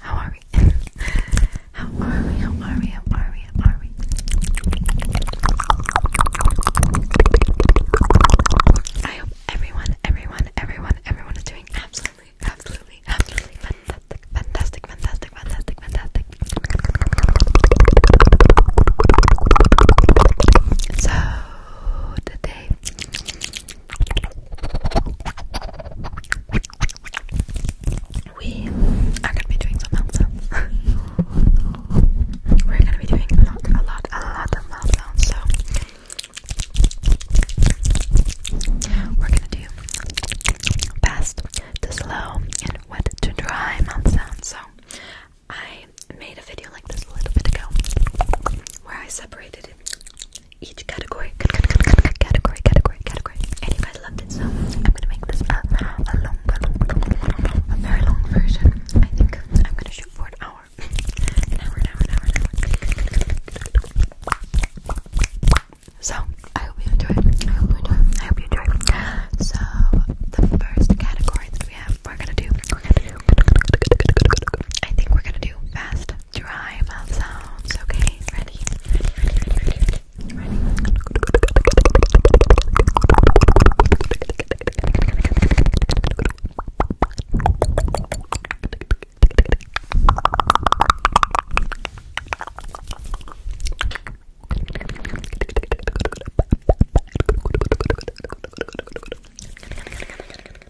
How are we? How are we? How are we? How are we? How are we? I hope everyone, everyone, everyone, everyone is doing absolutely, absolutely, absolutely fantastic, fantastic, fantastic, fantastic, fantastic. So today we are gonna be doing some mouth sounds. We're gonna be doing a lot, a lot, a lot of mouth sounds. So we're gonna do fast to slow and wet to dry mouth sounds. So I made a video like this a little bit ago where I separated it each category, category, category, category, and you guys loved it, so I'm gonna make this a, long, very long version. I think I'm gonna shoot for an hour, an hour, an hour, an hour, an hour. So I hope you enjoy. I hope you enjoy. I hope you enjoy. So the first category that we have, We're gonna do. I think we're gonna do fast dry mouth sounds, okay? Ready? Ready, ready, ready, ready,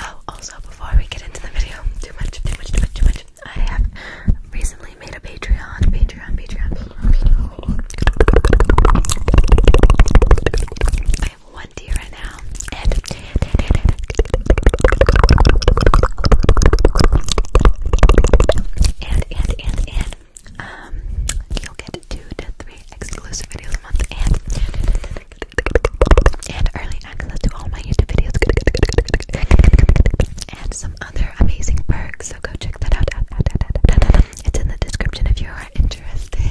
Oh, also before we get into the video, too much, too much, too much, too much. I have recently made a Patreon, Patreon, Patreon, Patreon. Patreon. I have one tier right now, and and, and, and, and, um, you'll get two to three exclusive videos a month and, and early access to all my YouTube videos and some other amazing perks. So go check that out. It's in the description if you are interested.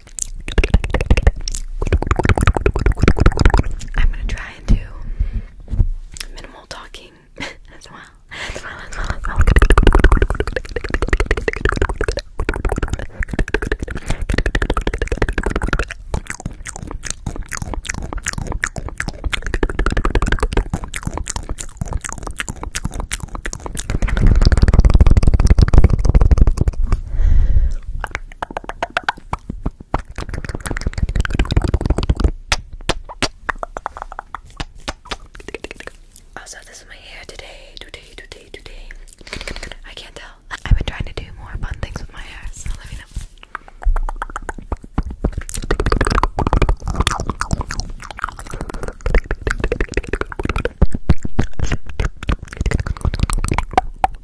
I'm gonna try and do minimal talking as well. Also, this is my hair today, today, today, today. I can't tell. I've been trying to do more fun things with my hair, let me know. Close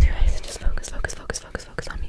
your eyes and just focus, focus, focus, focus, focus on me.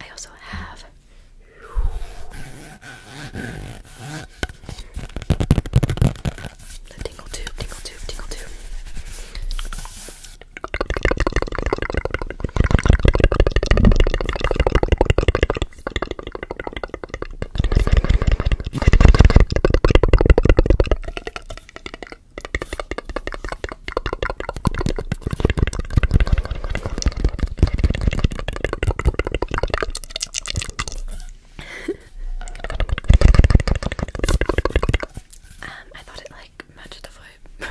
I also have the tingle tube, tingle tube, tingle tube um, I thought it like matched the vibe.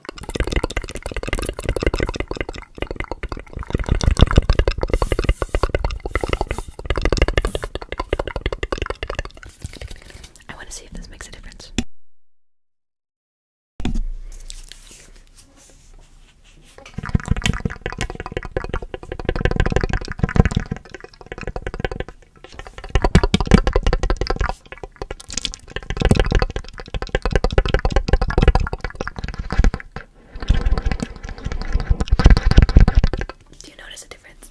I want to see if this makes a difference. Do you notice a difference?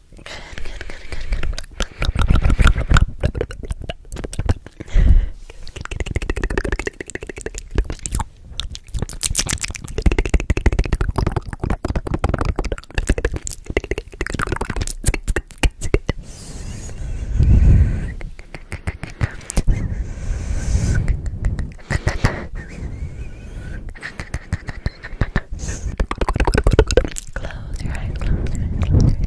Good, good, good, good, good. Close your eyes, close your eyes, close your eyes.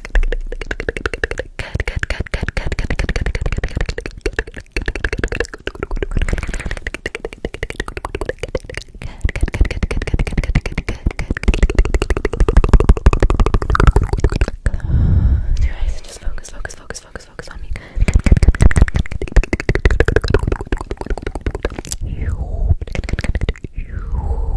Close your eyes and just focus, focus, focus, focus, focus on me. You. You.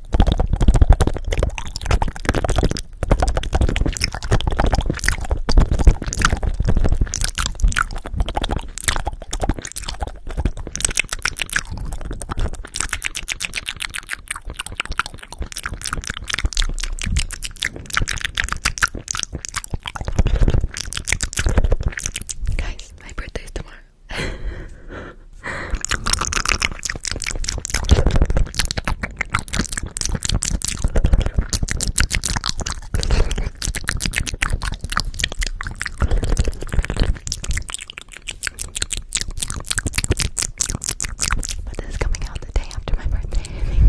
Guys, my birthday is tomorrow. But this is coming out the day after my birthday, I think.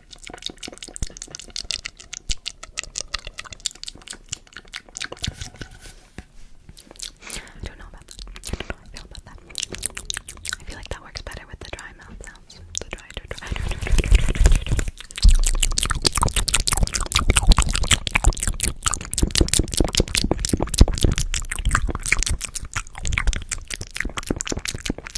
I don't know about that. I don't know how I feel about that. I feel like that works better with the dry mouth sounds. The dry, dry, dry, dry, dry, dry, dry, dry, dry, dry.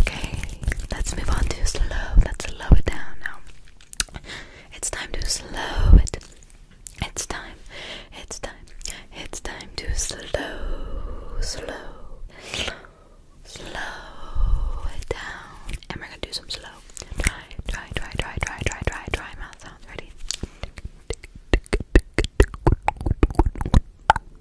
Okay, let's move on to slow. Let's slow it down now. It's time to slow it. It's time. It's time. It's time to slow, slow, slow, slow it down. And we're gonna do some slow. Try, try, try, try, try, try, try, try. Mouth sounds ready.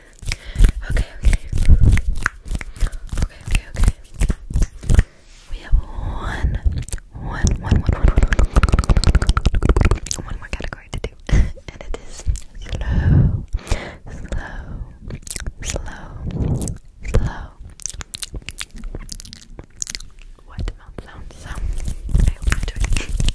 Okay, okay. Okay, okay, okay. We have one, one, one, one, one, one, one more category to do, and it is slow, slow, slow, slow. What mouth sounds? So I hope you enjoy.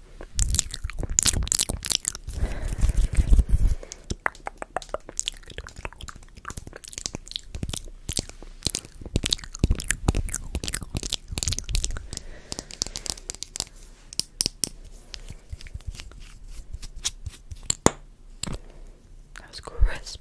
That was crisp.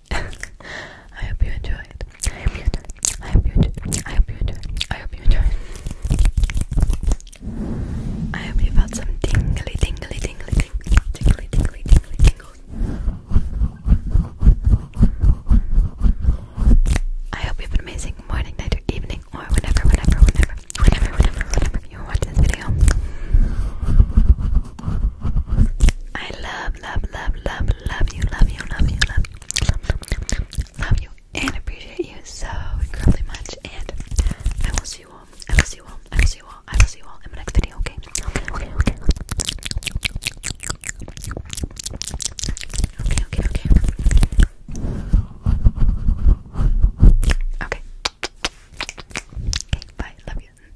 I hope you enjoyed. I hope you enjoyed. I hope you enjoyed. I hope you enjoyed. I hope you enjoyed. I hope you felt some tingly, tingly, tingly, tingly, tingly, tingly, tingly, tingles. I hope you have an amazing morning, night, or evening, or whenever, whenever, whenever, whenever, whenever, whenever you watch this video. I love love, love, love, love, you, love you, love you, love you, love you, and appreciate you so incredibly much. And I will see you all. I will see you all. I will see you all. I will see you all in my next video. Okay. Okay. Okay. Okay. Okay. Okay. Bye. Love you.